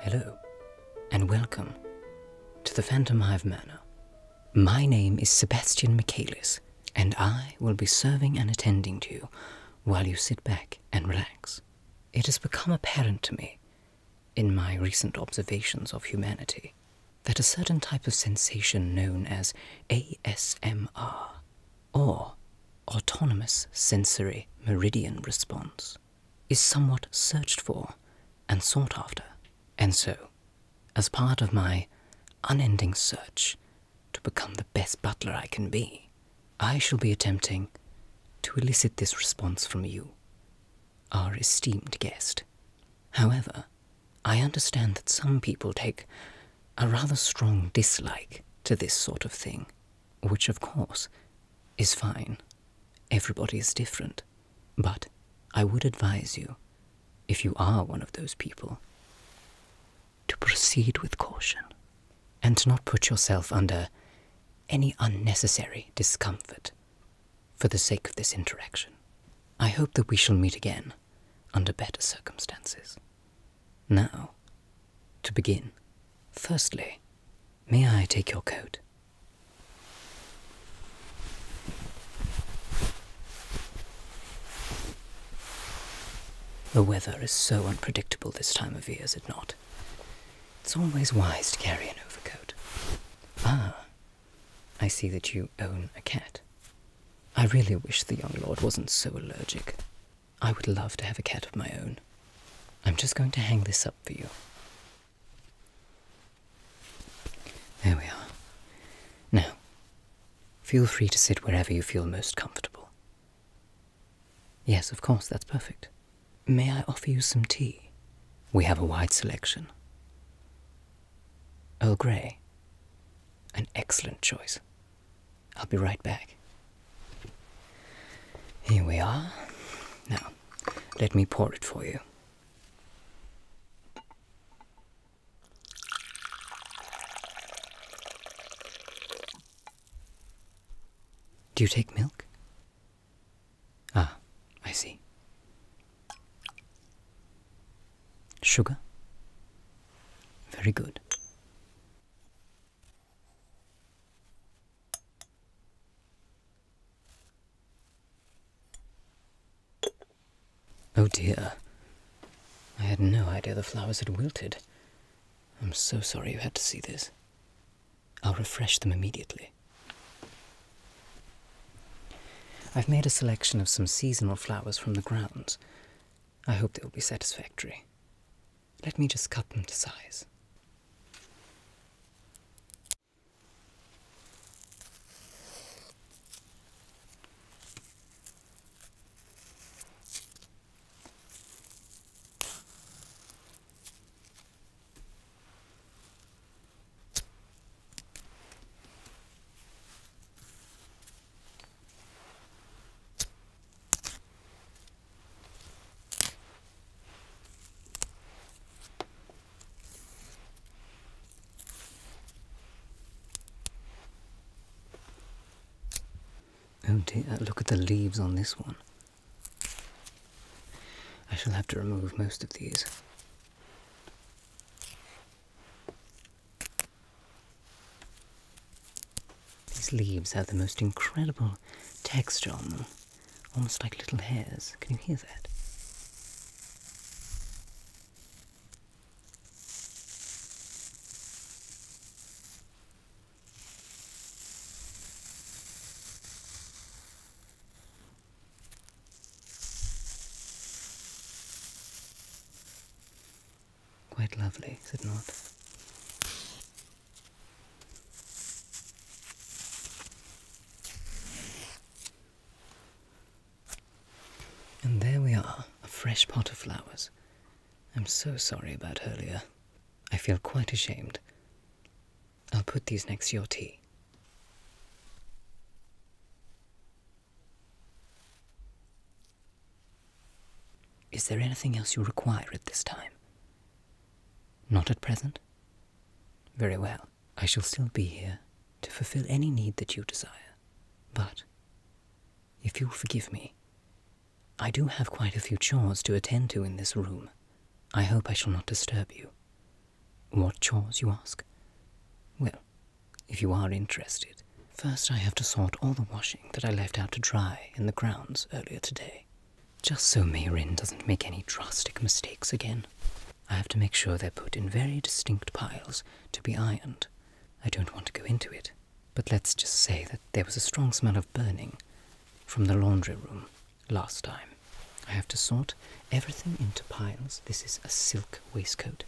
Hello, and welcome to the Phantom Hive Manor. My name is Sebastian Michaelis, and I will be serving and attending to you while you sit back and relax. It has become apparent to me in my recent observations of humanity that a certain type of sensation known as ASMR, or Autonomous Sensory Meridian Response, is somewhat searched for and sought after. And so, as part of my unending search to become the best butler I can be, I shall be attempting to elicit this response from you our esteemed guest. However, I understand that some people take a rather strong dislike to this sort of thing, which, of course, is fine. Everybody is different. But I would advise you, if you are one of those people, to proceed with caution and not put yourself under any unnecessary discomfort for the sake of this interaction. I hope that we shall meet again under better circumstances. Now, to begin, firstly, may I take your coat? The weather is so unpredictable this time of year, is it not? It's always wise to carry an overcoat. Ah, I see that you own a cat. I really wish the young lord wasn't so allergic. I would love to have a cat of my own. I'm just going to hang this up for you. There we are. Now, feel free to sit wherever you feel most comfortable. Yes, of course, that's perfect. May I offer you some tea? We have a wide selection. Earl Grey. An excellent choice. I'll be right back. Here we are. Now, let me pour it for you. Do you take milk? Ah, I see. Sugar? Very good. Oh dear. I had no idea the flowers had wilted. I'm so sorry you had to see this. I'll refresh them immediately. I've made a selection of some seasonal flowers from the grounds. I hope they will be satisfactory. Let me just cut them to size. Oh uh, dear, look at the leaves on this one. I shall have to remove most of these. These leaves have the most incredible texture on them, almost like little hairs. Can you hear that? Quite lovely, is it not? And there we are, a fresh pot of flowers. I'm so sorry about earlier. I feel quite ashamed. I'll put these next to your tea. Is there anything else you require at this time? Not at present? Very well. I shall still be here to fulfill any need that you desire. But, if you'll forgive me, I do have quite a few chores to attend to in this room. I hope I shall not disturb you. What chores, you ask? Well, if you are interested, first I have to sort all the washing that I left out to dry in the grounds earlier today. Just so Mayrin doesn't make any drastic mistakes again. I have to make sure they're put in very distinct piles to be ironed. I don't want to go into it, but let's just say that there was a strong smell of burning from the laundry room last time. I have to sort everything into piles. This is a silk waistcoat.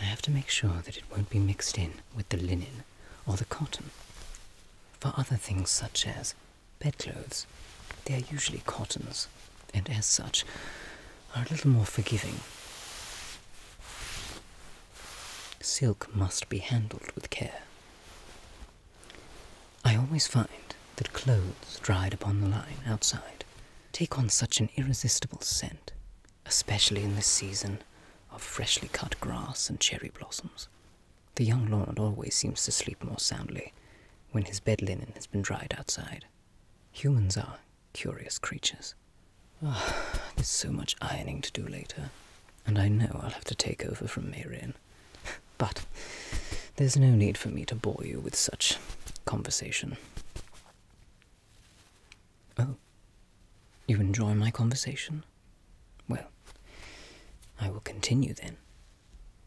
I have to make sure that it won't be mixed in with the linen or the cotton. For other things such as bedclothes, they are usually cottons, and as such, are a little more forgiving. Silk must be handled with care. I always find that clothes dried upon the line outside take on such an irresistible scent, especially in this season of freshly cut grass and cherry blossoms. The young lord always seems to sleep more soundly when his bed linen has been dried outside. Humans are curious creatures. Oh, there's so much ironing to do later, and I know I'll have to take over from Marian. But there's no need for me to bore you with such conversation. Oh, you enjoy my conversation? Well, I will continue then.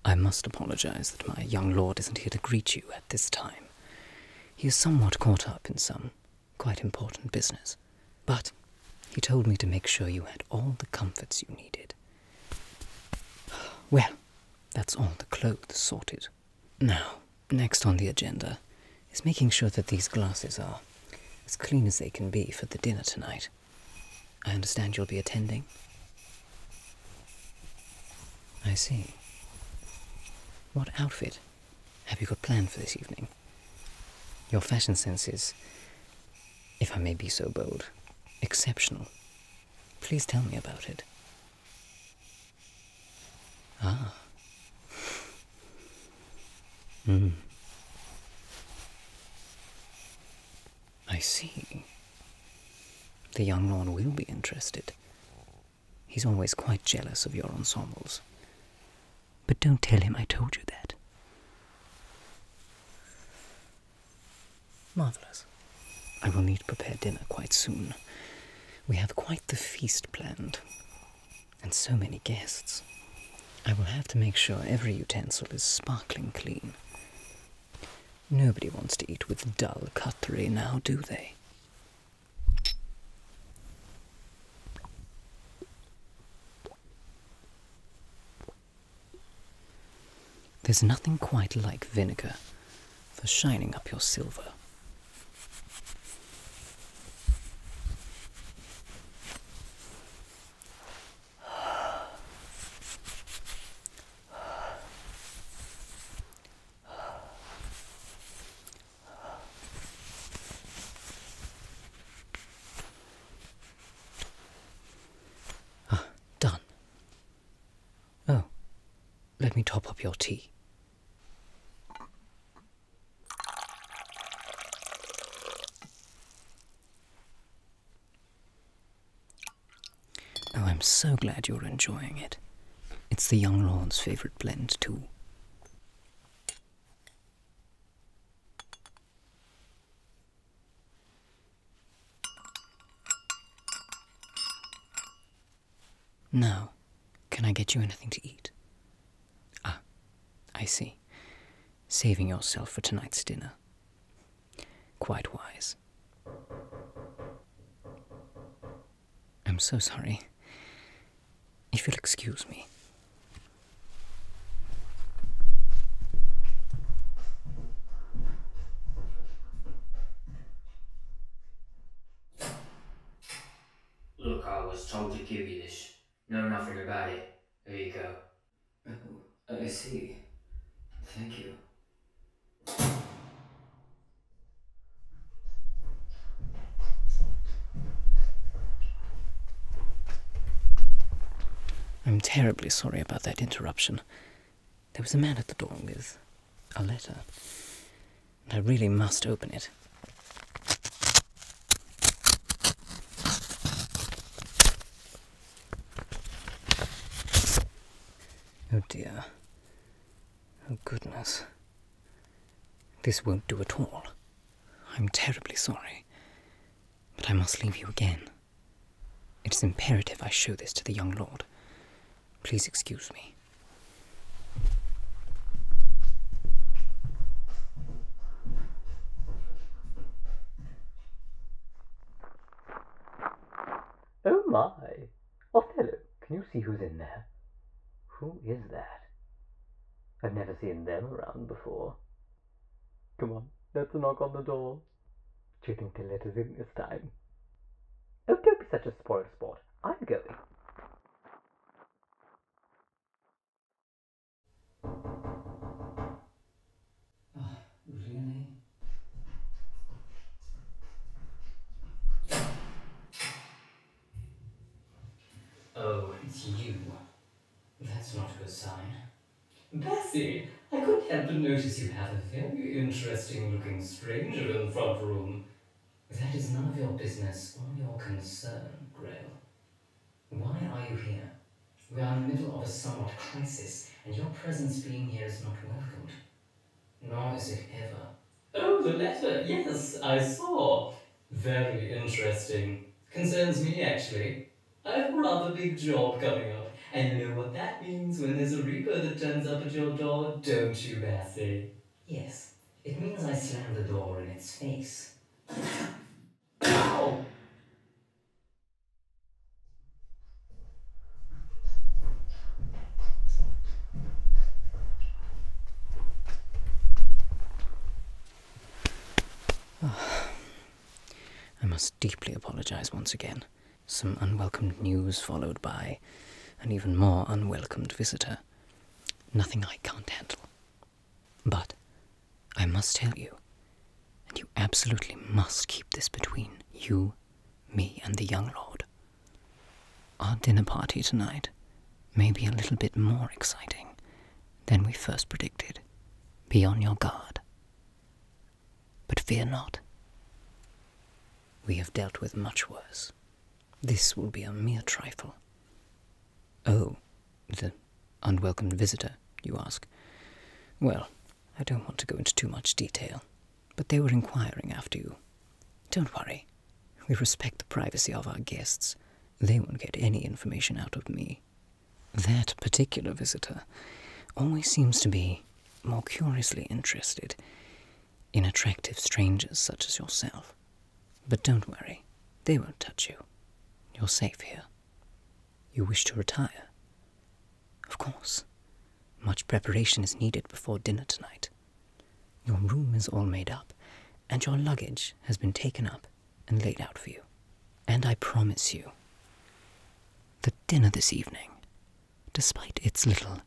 I must apologize that my young lord isn't here to greet you at this time. He is somewhat caught up in some quite important business. But he told me to make sure you had all the comforts you needed. Well, that's all the clothes sorted. Now, next on the agenda is making sure that these glasses are as clean as they can be for the dinner tonight. I understand you'll be attending. I see. What outfit have you got planned for this evening? Your fashion sense is if I may be so bold, exceptional. Please tell me about it. Ah. Mm. I see. The young lord will be interested. He's always quite jealous of your ensembles. But don't tell him I told you that. Marvellous. I will need to prepare dinner quite soon. We have quite the feast planned, and so many guests. I will have to make sure every utensil is sparkling clean. Nobody wants to eat with dull cutlery now, do they? There's nothing quite like vinegar for shining up your silver. Ah, done. Oh, let me top up your tea. Oh, I'm so glad you're enjoying it. It's the young lord's favorite blend, too. No, can I get you anything to eat? Ah, I see. Saving yourself for tonight's dinner. Quite wise. I'm so sorry. If you'll excuse me, Look, I was told to give you this. Know nothing about it. Here you go. Oh, I see. Thank you. I'm terribly sorry about that interruption. There was a man at the door with a letter, and I really must open it. Oh dear. Oh goodness. This won't do at all. I'm terribly sorry, but I must leave you again. It is imperative I show this to the young lord. Please excuse me. Oh my! Othello, can you see who's in there? Who is that? I've never seen them around before. Come on, let's knock on the door. Cheating let us in this time. Oh, don't be such a spoiled sport. I'm going. Oh, oh you. That's not a good sign. Bessie, I couldn't help but notice you have a very interesting looking stranger in the front room. That is none of your business or your concern, Grail. Why are you here? We are in the middle of a somewhat crisis, and your presence being here is not welcomed. Nor is it ever. Oh, the letter! Yes, I saw. Very interesting. Concerns me, actually. I have a rather big job coming up, and you know what that means when there's a reaper that turns up at your door, don't you, Bessie? Yes, it means I slam the door in its face. Ow! I must deeply apologize once again. Some unwelcome news followed by an even more unwelcomed visitor. Nothing I can't handle. But I must tell you, and you absolutely must keep this between you, me, and the young lord. Our dinner party tonight may be a little bit more exciting than we first predicted. Be on your guard. But fear not. We have dealt with much worse. This will be a mere trifle. Oh, the unwelcome visitor, you ask. Well, I don't want to go into too much detail, but they were inquiring after you. Don't worry. We respect the privacy of our guests they won't get any information out of me. That particular visitor always seems to be more curiously interested in attractive strangers such as yourself. But don't worry, they won't touch you. You're safe here. You wish to retire? Of course. Much preparation is needed before dinner tonight. Your room is all made up, and your luggage has been taken up and laid out for you. And I promise you that dinner this evening, despite its little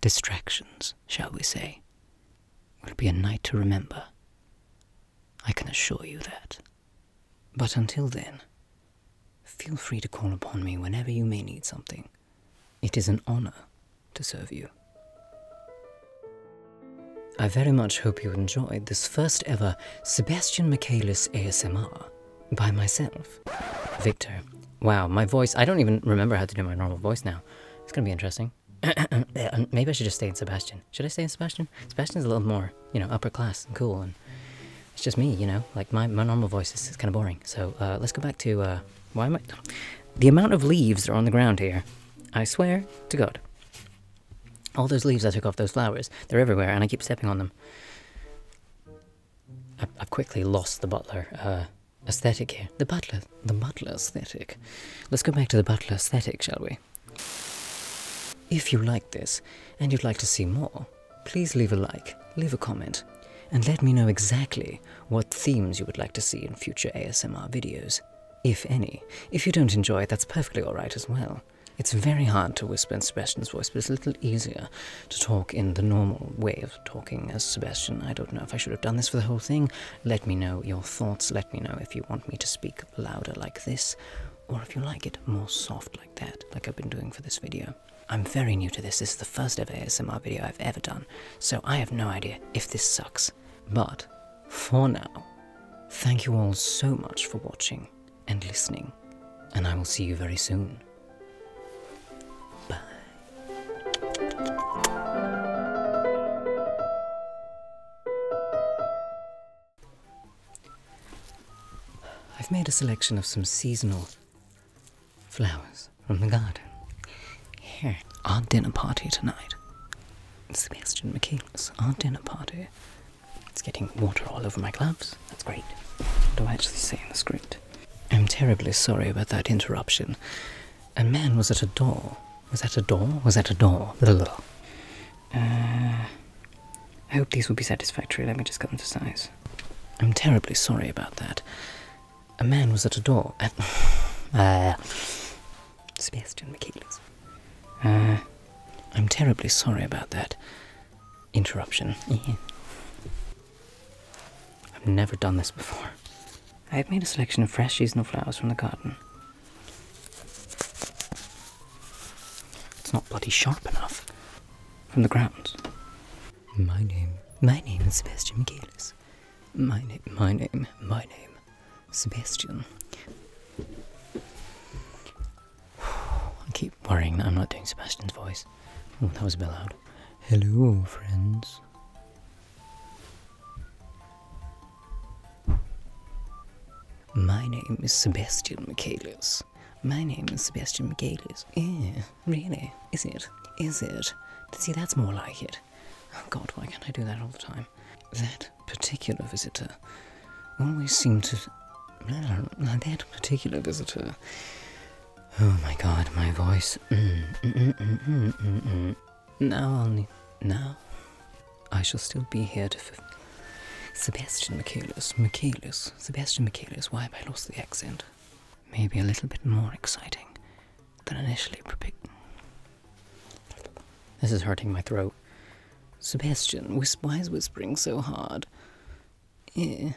distractions, shall we say, will be a night to remember. I can assure you that. But until then, feel free to call upon me whenever you may need something. It is an honor to serve you. I very much hope you enjoyed this first ever Sebastian Michaelis ASMR by myself, Victor. Wow, my voice, I don't even remember how to do my normal voice now. It's gonna be interesting. Maybe I should just stay in Sebastian. Should I stay in Sebastian? Sebastian's a little more, you know, upper class and cool and it's just me, you know? Like, my, my normal voice is, kind of boring. So, uh, let's go back to, uh, why am I... The amount of leaves are on the ground here I swear to God. All those leaves I took off those flowers, they're everywhere and I keep stepping on them. I, have quickly lost the butler uh, aesthetic here. The butler, the butler aesthetic. Let's go back to the butler aesthetic, shall we? If you like this and you'd like to see more, please leave a like, leave a comment, and let me know exactly what themes you would like to see in future ASMR videos if any. If you don't enjoy it, that's perfectly alright as well. It's very hard to whisper in Sebastian's voice, but it's a little easier to talk in the normal way of talking as Sebastian. I don't know if I should have done this for the whole thing. Let me know your thoughts. Let me know if you want me to speak louder like this, or if you like it more soft like that, like I've been doing for this video. I'm very new to this. This is the first ever ASMR video I've ever done, so I have no idea if this sucks. But for now, thank you all so much for watching and listening, and I will see you very soon. I've made a selection of some seasonal flowers. Oh my God! Here, our dinner party tonight. Sebastian Michaelis, our dinner party. It's getting water all over my gloves. That's great. do I actually say in the script? I'm terribly sorry about that interruption. A man was at a door. Was that a door? Was that a door? Little, little. Ah, I hope these will be satisfactory. Let me just get them to size. I'm terribly sorry about that. A man was at a door at. Uh, Sebastian Michaelis. Uh, I'm terribly sorry about that interruption. I've never done this before. I have made a selection of fresh seasonal flowers from the garden. It's not bloody sharp enough. From the grounds. My name. My name is Sebastian Michaelis. My name, my name, my name. Sebastian. I keep worrying I'm not doing Sebastian's voice. Oh, that was a bit loud. Hello, friends. My name is Sebastian Michaelis. My name is Sebastian Michaelis. Yeah, really? Is not it? Is it? See, that's more like it. Oh god, why can't I do that all the time? That particular visitor always seemed to. That particular visitor. Oh my god, my voice. Mm, mm, mm, now I'll need. Now? I shall still be here to. F Sebastian Michaelis. Michaelis. Sebastian Michaelis. Why have I lost the accent? Maybe a little bit more exciting than initially predicted. This is hurting my throat. Sebastian, why is whispering so hard? Yeah.